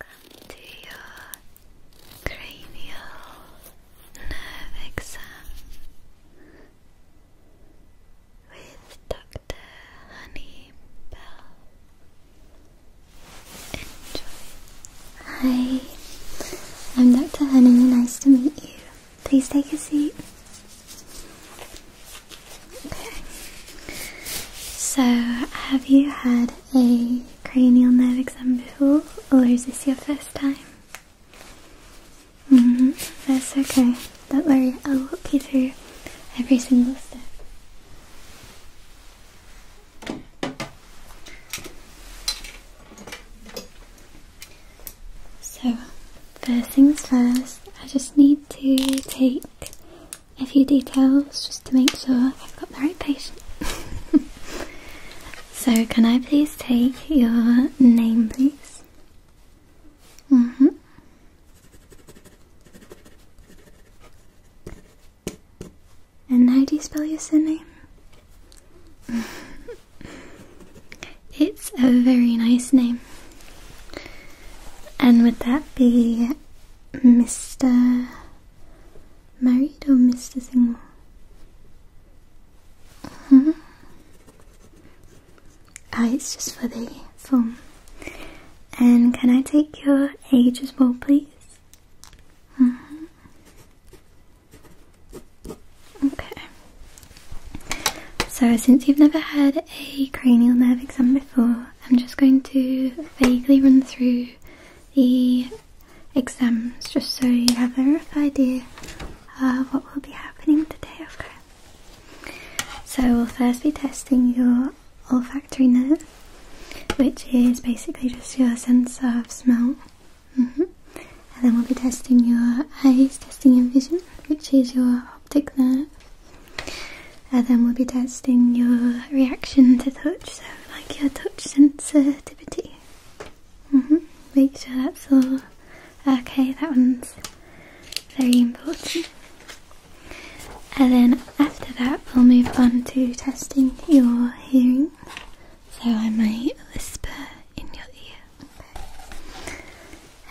Welcome to your cranial nerve exam with Dr. Honeybell. Bell. Enjoy. Hi, I'm Dr. Honey, nice to meet you. Please take a seat. Okay. So, have you had a cranial nerve exam before, or oh, is this your first time? -hmm. That's okay. Don't worry, I'll walk you through every single step. So, first things first, I just need to take a few details just to make sure I've got the right patient. so, can I please take your name, please? Mm hmm. And how do you spell your surname? it's a very nice name. And would that be Mr. Married or Mr. Seymour? -hmm. Ah, uh, it's just for the form. And can I take your age as well, please? -hmm. Okay. So, since you've never had a cranial nerve exam before, I'm just going to vaguely run through the exams just so you have a rough idea of what will be happening today, okay? So we'll first be testing your olfactory nerve, which is basically just your sense of smell. Mm-hmm. And then we'll be testing your eyes, testing your vision, which is your optic nerve and then we'll be testing your reaction to touch, so like your touch sensitivity. Mm-hmm. Make sure that's all okay, that one's very important. And then after that, we'll move on to testing your hearing. So I might whisper in your ear.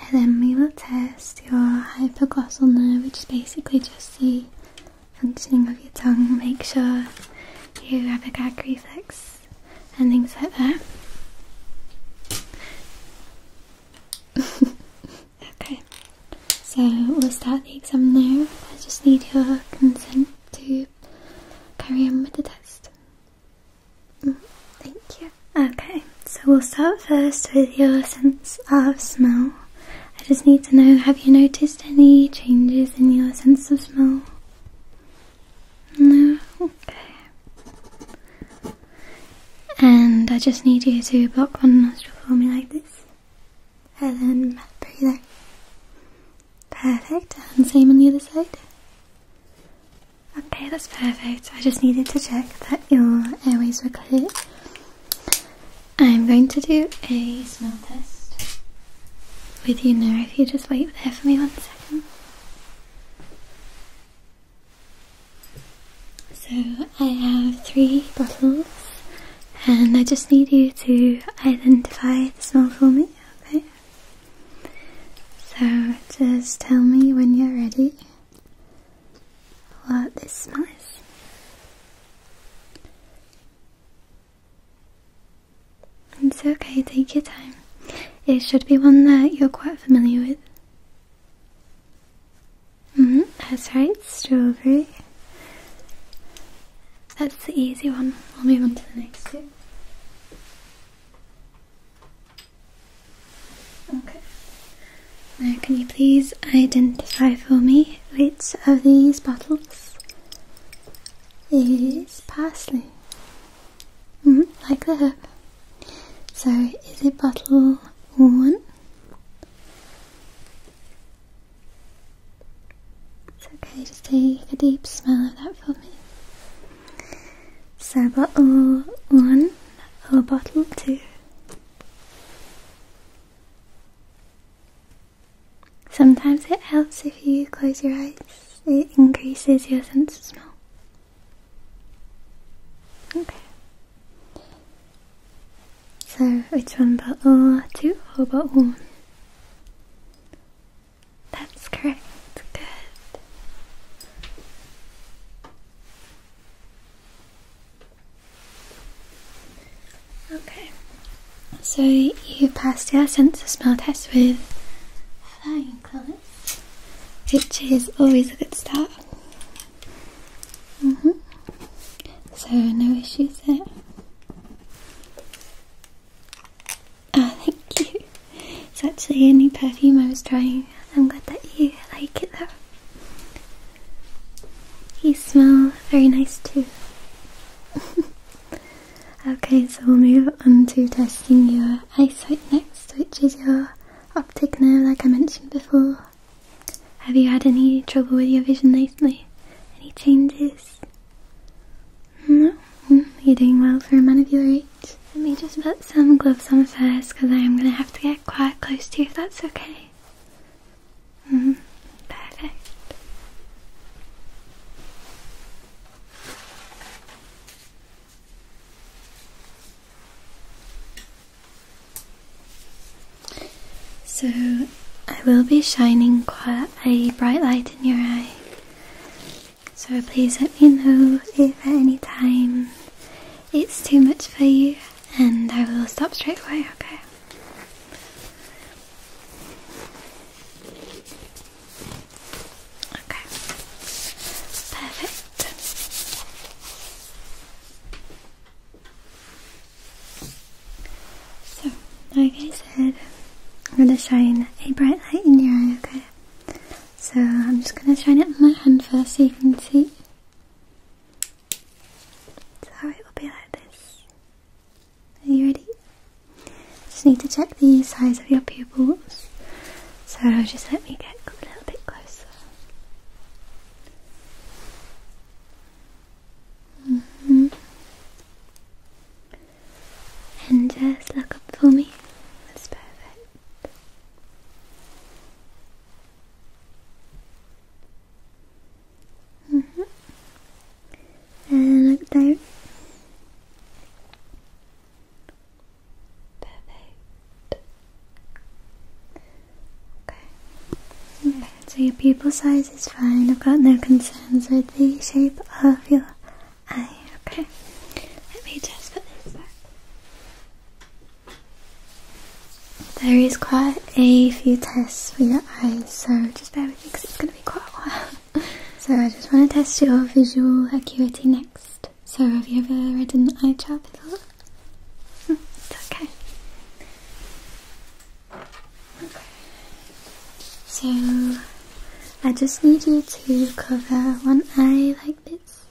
And then we will test your hypoglossal nerve, which is basically just the functioning of your tongue, make sure you have a gag reflex and things like that. okay, so we'll start the exam now. I just need your consent to carry on with the test. Mm, thank you. Okay, so we'll start first with your sense of smell. I just need to know have you noticed any changes in your sense of smell? No? Okay. And I just need you to block one nostril for me like this. And then breathe out. Perfect. And same on the other side. Okay, that's perfect. I just needed to check that your airways were clear. I'm going to do a smell test with you now. If you just wait there for me one second. So I have three bottles, and I just need you to identify the smell for me. Okay. So just tell me when you're ready what this smells. It's okay, take your time. It should be one that you're quite familiar with. Mm-hmm, that's right, strawberry. That's the easy one. I'll move on to the next two. Okay. Now, can you please identify for me which of these bottles is parsley, mm-hmm, like the herb. So, is it bottle one? It's okay, just take a deep smell of that for me. So, bottle one or bottle two? Sometimes it helps if you close your eyes, it increases your sense of smell. Okay. So, which one, bottle two or but one? That's correct. Good. Okay, so you passed your sense of smell test with flying colours, which is always a good start. Mm-hmm. So, no issues there. Ah, thank you. It's actually a new perfume I was trying. I'm glad that you like it though. You smell very nice too. okay, so we'll move on to testing your eyesight next, which is your optic nerve, like I mentioned before. Have you had any trouble with your vision lately? Any changes? No? Mm, you're doing well for a man of your age. Let me just put some gloves on first because I am going to have to get quite close to you if that's okay. Mm-hmm. Perfect. So, I will be shining quite a bright light in your eye. So, please let me know if at any time it's too much for you, and I will stop straight away, okay? Okay. Perfect. So, like I said, I'm gonna shine a bright light in your eye, okay? So I'm just gonna shine it on my hand first so you can see. So it will be like this. Are you ready? Just need to check the size of your pupils. So just let me get a little bit closer. Mm-hmm. And just look up for me. That's perfect. -hmm. And look down. Perfect. Okay. Okay, so your pupil size is fine. I've got no concerns with the shape of your eye. Okay. Let me just put this back. There is quite a few tests for your eyes, so just bear with because it's going to be quite a while. so I just want to test your visual acuity next. So have you ever read an eye chart before? Hmm, it's okay. Okay. So I just need you to cover one eye like this.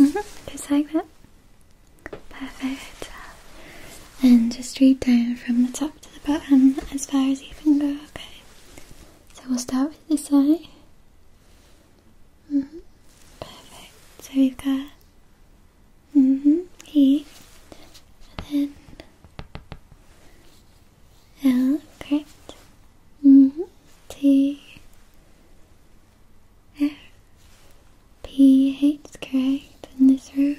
Mm Just like that. Perfect. And just read down from the top to the bottom as far as you can go, okay? So we'll start with this eye. -hmm. Perfect. So we've got mm -hmm, here, and L, correct? -hmm. T, F, P hates correct in this room.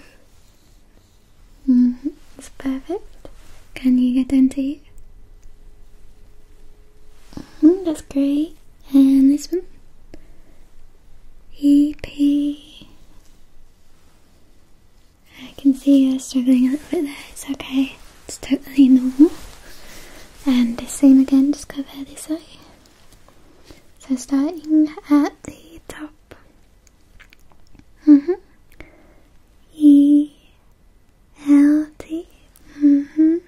-hmm. It's perfect. Can you get into it? Mm That's great. And this one? E P. I can see you're struggling a little bit there. It's okay. It's totally normal. And the same again, just cover this eye. So starting at the top. Mm-hmm. E L T. T. Mhm.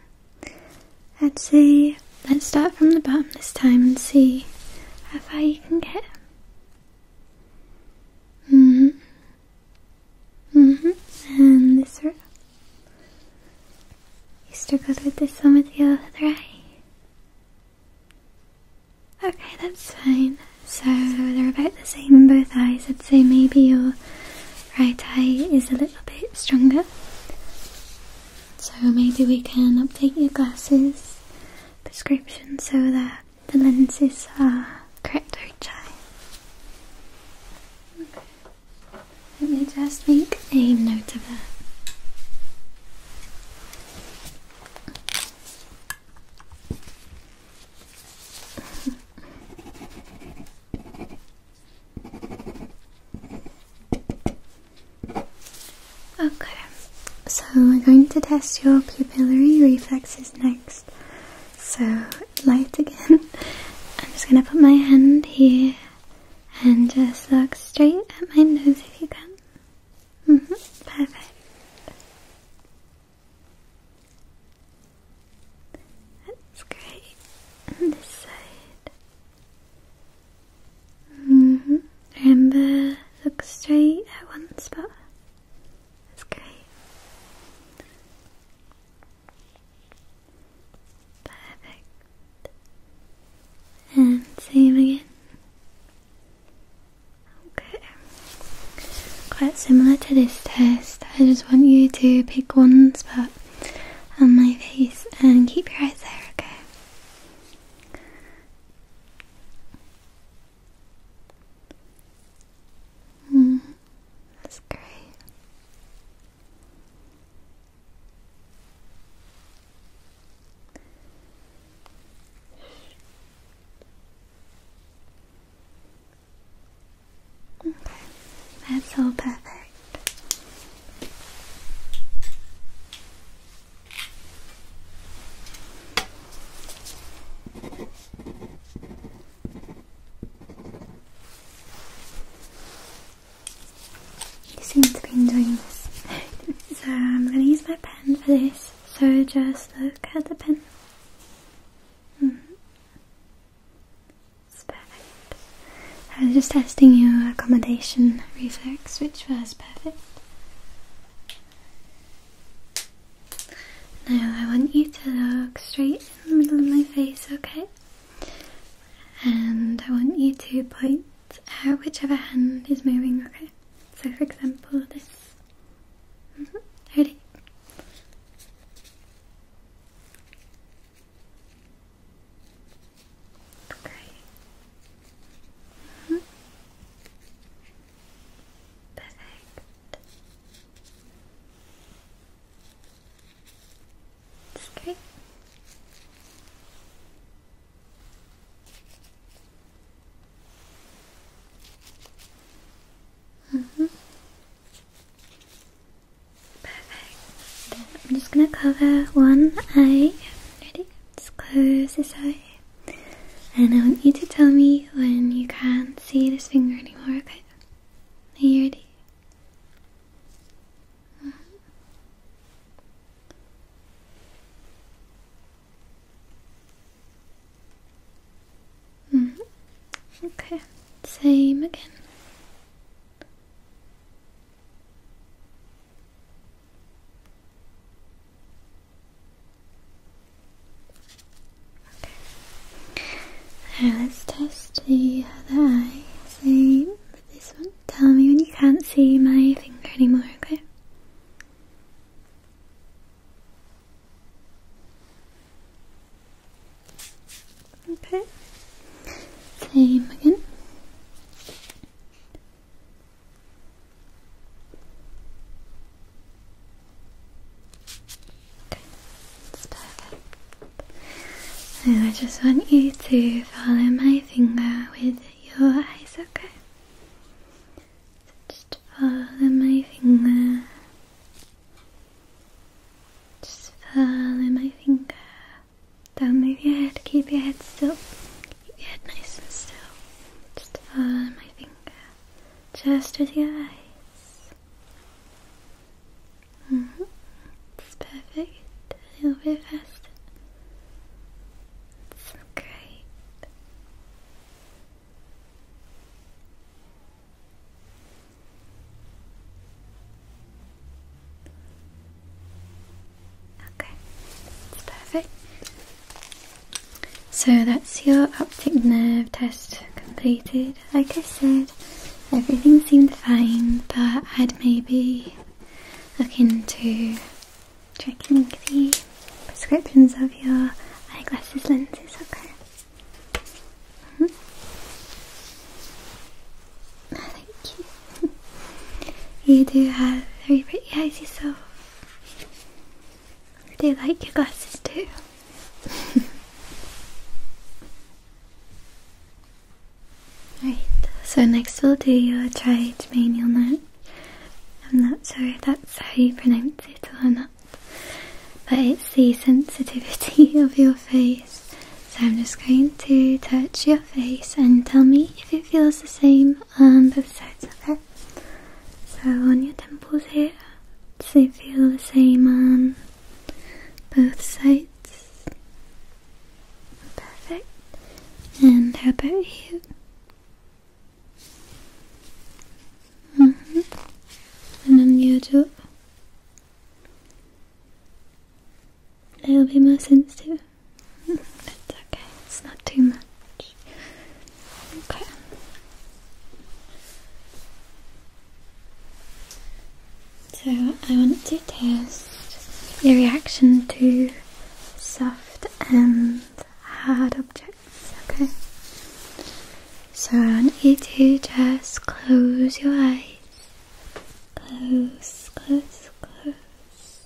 Let's see. let's start from the bottom this time and see how far you can get. Mm-hmm. Mm-hmm. And this row. You struggled with this one with the other eye. Okay, that's fine. So they're about the same in both eyes. I'd say maybe your right eye is a little bit stronger. So maybe we can update your glasses prescription so that the lenses are correct for Okay. Let me just make a note of that okay, so we're going to test your pupillary reflexes next. So, light again. I'm just going to put my hand here and just look straight at my nose if you can. -hmm. Perfect. That's great. this side. -hmm. Remember, look straight at one spot. That's great. Perfect. And same again. Okay. Quite similar to this test. I just want you to pick one spot on my face and keep your eyes there, okay? Mm, that's great. Okay, that's all perfect. You seem to be enjoying this. so I'm going to use my pen for this. So just look at the pen. Mm-hmm. perfect. I was just testing your accommodation reflex, which was perfect. Now I want you to look straight in the middle of my face, okay? And I want you to point uh, whichever hand is moving, okay? So, for example, this. Mm-hmm. Ready? Okay. Mm-hmm. Perfect. That's Mm-hmm. Perfect. I'm just gonna cover one eye. Ready? Just close this eye. And I want you to tell me when you can't see this finger anymore, okay? Are you ready? Mm-hmm. -hmm. Okay, same again. Okay. Now let's test the other eye. Same with this one. Tell me when you can't see my finger anymore, okay? Okay. Same again. Okay, perfect. And I just want you to follow my finger with your eyes, okay? just follow my finger. Just follow my finger. Don't move your head. Keep your head still. Keep your head nice and still. Just follow my finger. Just with your eyes. -hmm. It's perfect. A little bit fast. So Okay, perfect. So that's your optic nerve test completed. Like I said, everything seemed fine, but I'd maybe look into checking the prescriptions of your eyeglasses lenses, okay? Mm-hmm. Thank you. you do have very pretty eyes yourself. I do like your glasses too. right, so next we'll do your tried manual note. I'm not sure if that's how you pronounce it or not, but it's the sensitivity of your face. So I'm just going to touch your face and tell me if it feels the same on both sides of it. So on your temples here, does it feel the same on both sides? Perfect. And how about you? Mm -hmm. And on YouTube, it will be more sensitive. Mm-hmm. It's okay, it's not too much. Okay. So, I want to test your reaction to soft and hard objects pockets, okay? So I want you to just close your eyes. Close, close, close.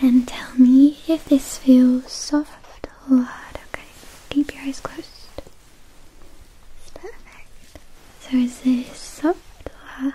And tell me if this feels soft or hard, okay? Keep your eyes closed. perfect. So is this soft or hard?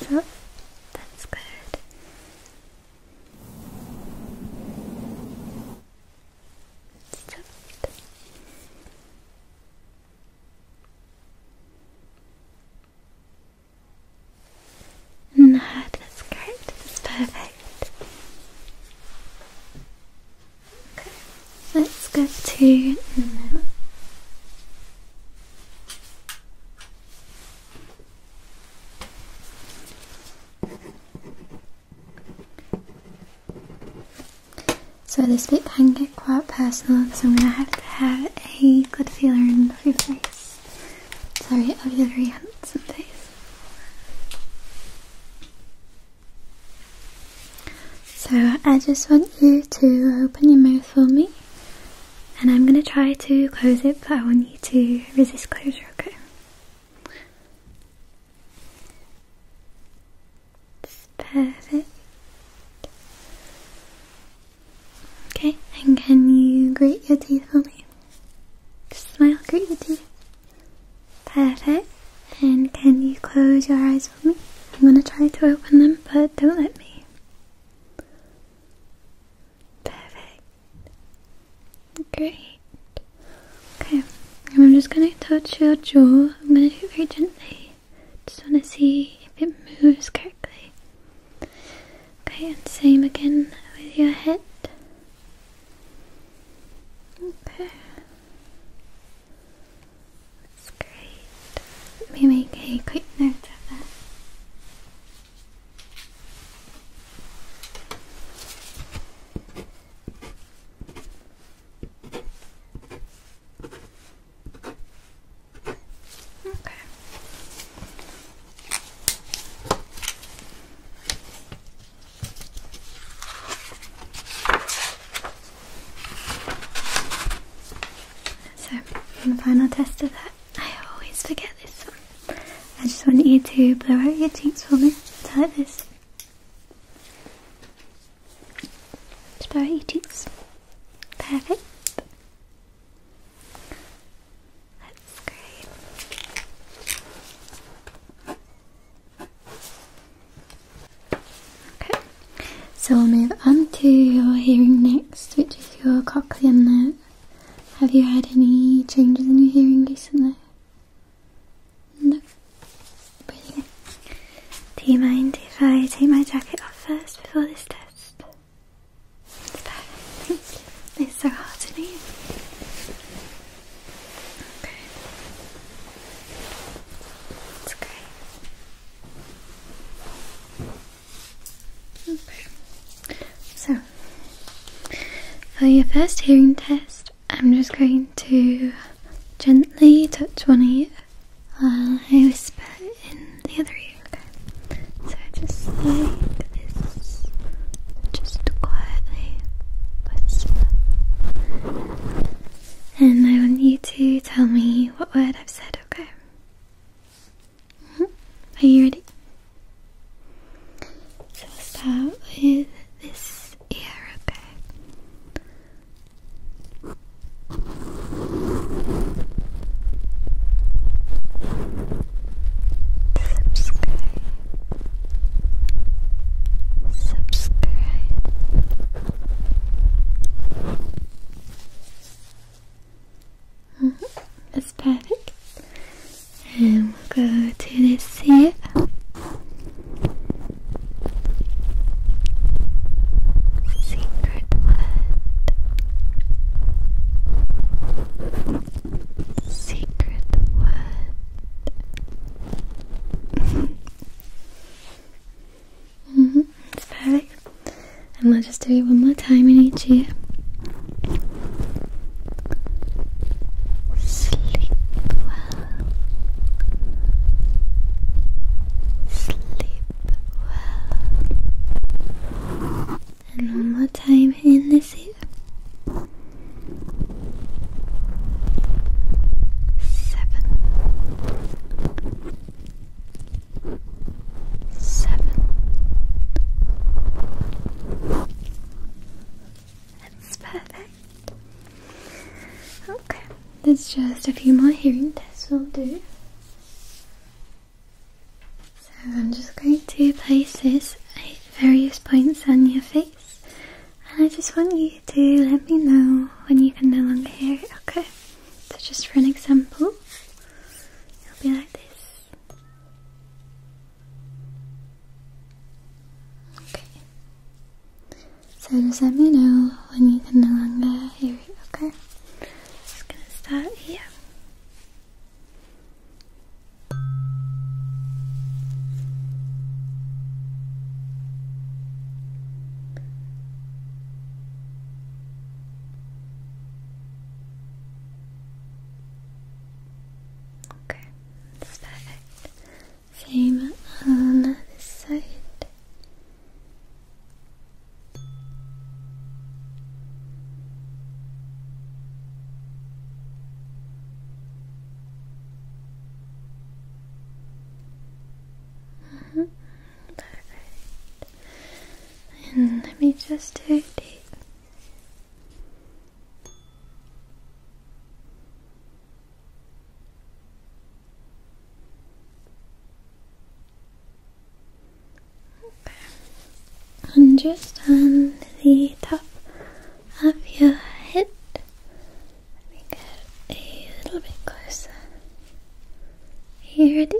So oh, that's good. Soft. Mm, no, that's great. That's perfect. Okay, let's go to so this bit can get quite personal so I'm going to have to have a good feeler in your face. Sorry, of your very handsome face. So I just want you to open your mouth for me. And I'm going to try to close it, but I want you to resist closure, okay? perfect. Okay, and can you grit your teeth for me? Just smile, grit your teeth. Perfect. And can you close your eyes for me? I'm gonna try to open them, but don't let me. Perfect. Great. Okay, I'm just going to touch your jaw. I'm going to do it very gently. Just want to see if it moves correctly. Okay, and same again with your head. Okay. That's great. Let me make a quick note of that. Okay. So, the final test of that I always forget this one. I just want you to blow out your cheeks for me. Just like this. Just blow out your cheeks. Perfect. That's great. Okay, so we'll move on to your hearing next, which is your cochlear nerve. Have you had any changes in your hearing recently? No. Do you mind if I take my jacket off first before this test? It's so hot in here. Okay. It's great. So, for your first hearing test, I'm just going to gently touch one ear while I whisper in the other ear. Okay. So just like this, just quietly whisper. And I want you to tell me what word I've said, okay? Mm-hmm. Are you ready? So start with this ear, okay? Subscribe. Subscribe. Mm -hmm. That's perfect. And we'll go to this here. Secret word. Secret word. -hmm. perfect. And we'll just do it one more time in each ear. Sleep well. Sleep well. And one more time in this year. Seven, seven. That's perfect. Okay, there's just a few more hearing tests we'll do. So I'm just going to place this at various points on your face, and I just want you to let me know when you can no longer hear Okay, so just for an example, it'll be like this. Okay. So just let me know when you can no longer hear area, okay? Just gonna start here. Okay, that's perfect. Same on this side. Mm -hmm. Perfect. And let me just do it. Okay. And just on the top of your head, let me get a little bit closer. Here, ready?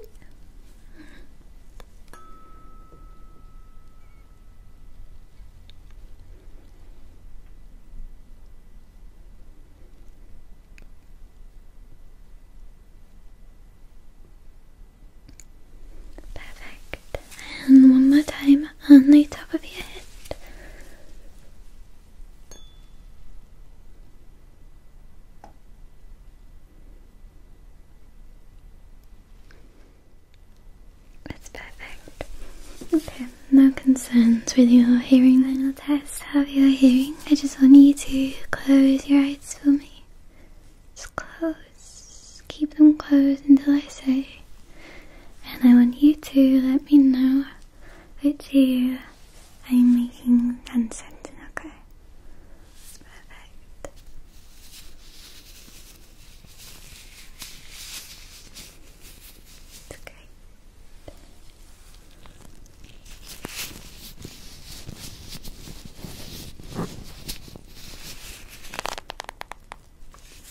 Perfect. And one more time on the top of your head. That's perfect. Okay, no concerns with your hearing. Final test of your hearing. I just want you to close your eyes for me. Just close. Keep them closed until I say. And I want you to let me know which you. I'm making uncertain, okay? It's perfect.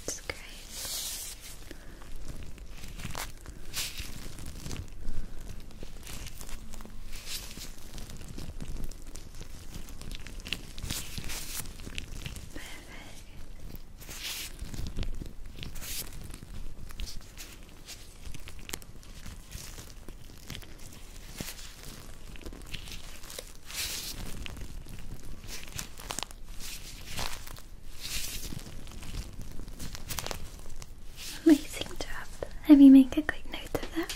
It's great. It's Amazing job. Let me make a quick note of that.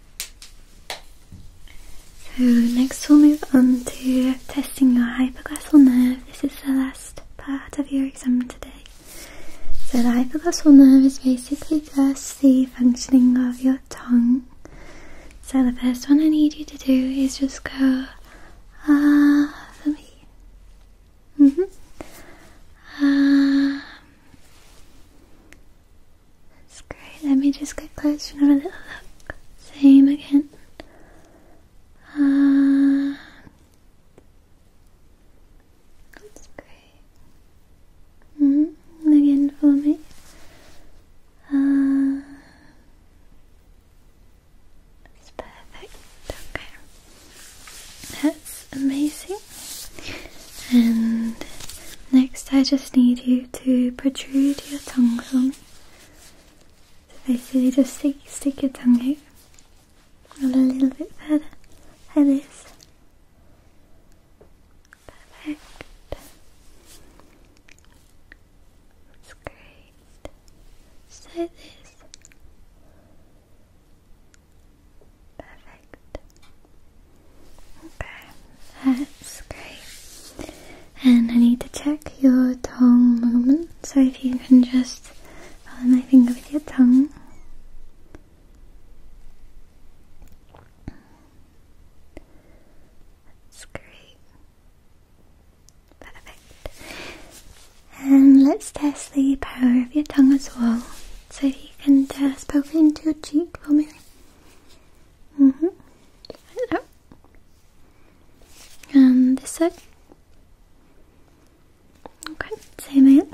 So next we'll move on to testing your hypoglossal nerve. This is the last part of your exam today. So the hypoglossal nerve is basically just the functioning of your tongue. So the first one I need you to do is just go ah for me. -hmm. Ah. That's great. Let me just get closer for another little look. Same again. Uh, that's great. -hmm. Again for me. Uh, that's perfect. Okay. That's amazing. And next, I just need you to protrude your tongue for me. So basically, just stick, stick your tongue out, a little bit further, like this. Perfect. That's great. Just this. Perfect. Okay, that's great. And I need to check your tongue movement, so if you can just follow my finger with your tongue. That's great. Perfect. And let's test the power of your tongue as well. So you can just poke into your cheek for me. Mm -hmm. And this side. Okay, same again.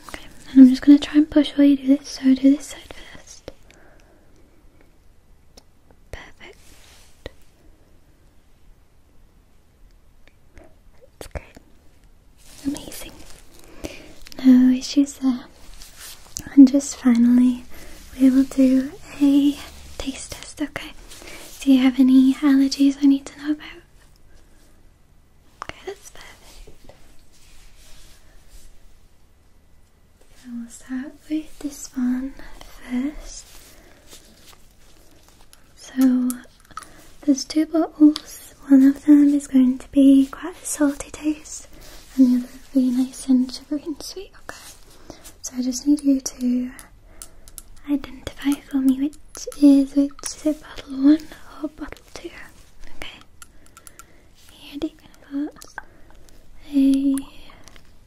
Okay, and I'm just gonna try and push while you do this, so do this side first. Perfect. That's good. Amazing. No issues there. And just finally, we will do a taste test, okay? Do you have any allergies I need to know about? Okay, that's perfect. we'll start with this one first. So there's two bottles. One of them is going to be quite a salty taste, and the other will be nice and sugary and sweet. Okay. So I just need you to identify for me which is which. Is it bottle one or bottle two? Okay. Here you can put a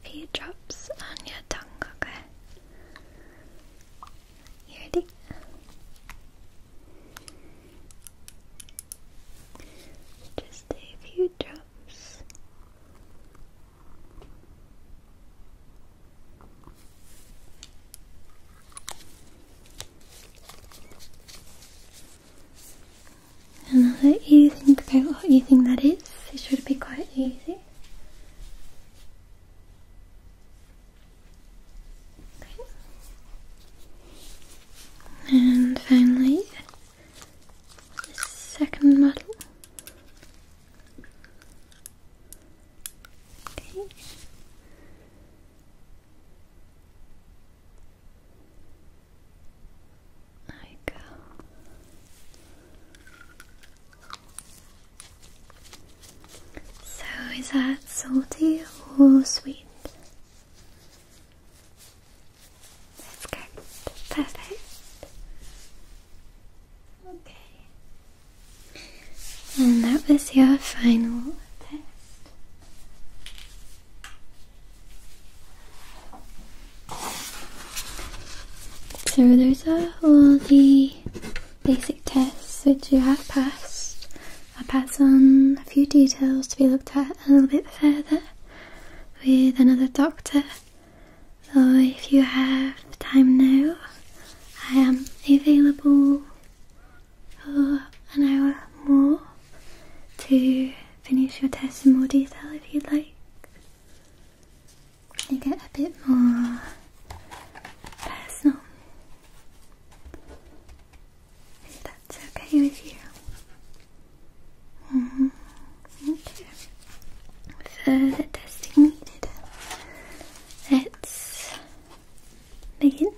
few drops on your tongue. Okay. Just a few drops. And i let you think about what you think that is. It should be quite easy. And finally, the second model. Okay. There you go. So, is that salty or sweet? That's Perfect. Okay. And that was your final test. So there's a all the basic tests which you have passed. I pass on a few details to be looked at a little bit further with another doctor. So if you have time now, I am available for an hour more to finish your test in more detail if you'd like. You get a bit more personal. If that's okay with you. Mm -hmm. Okay. testing needed. Let's begin.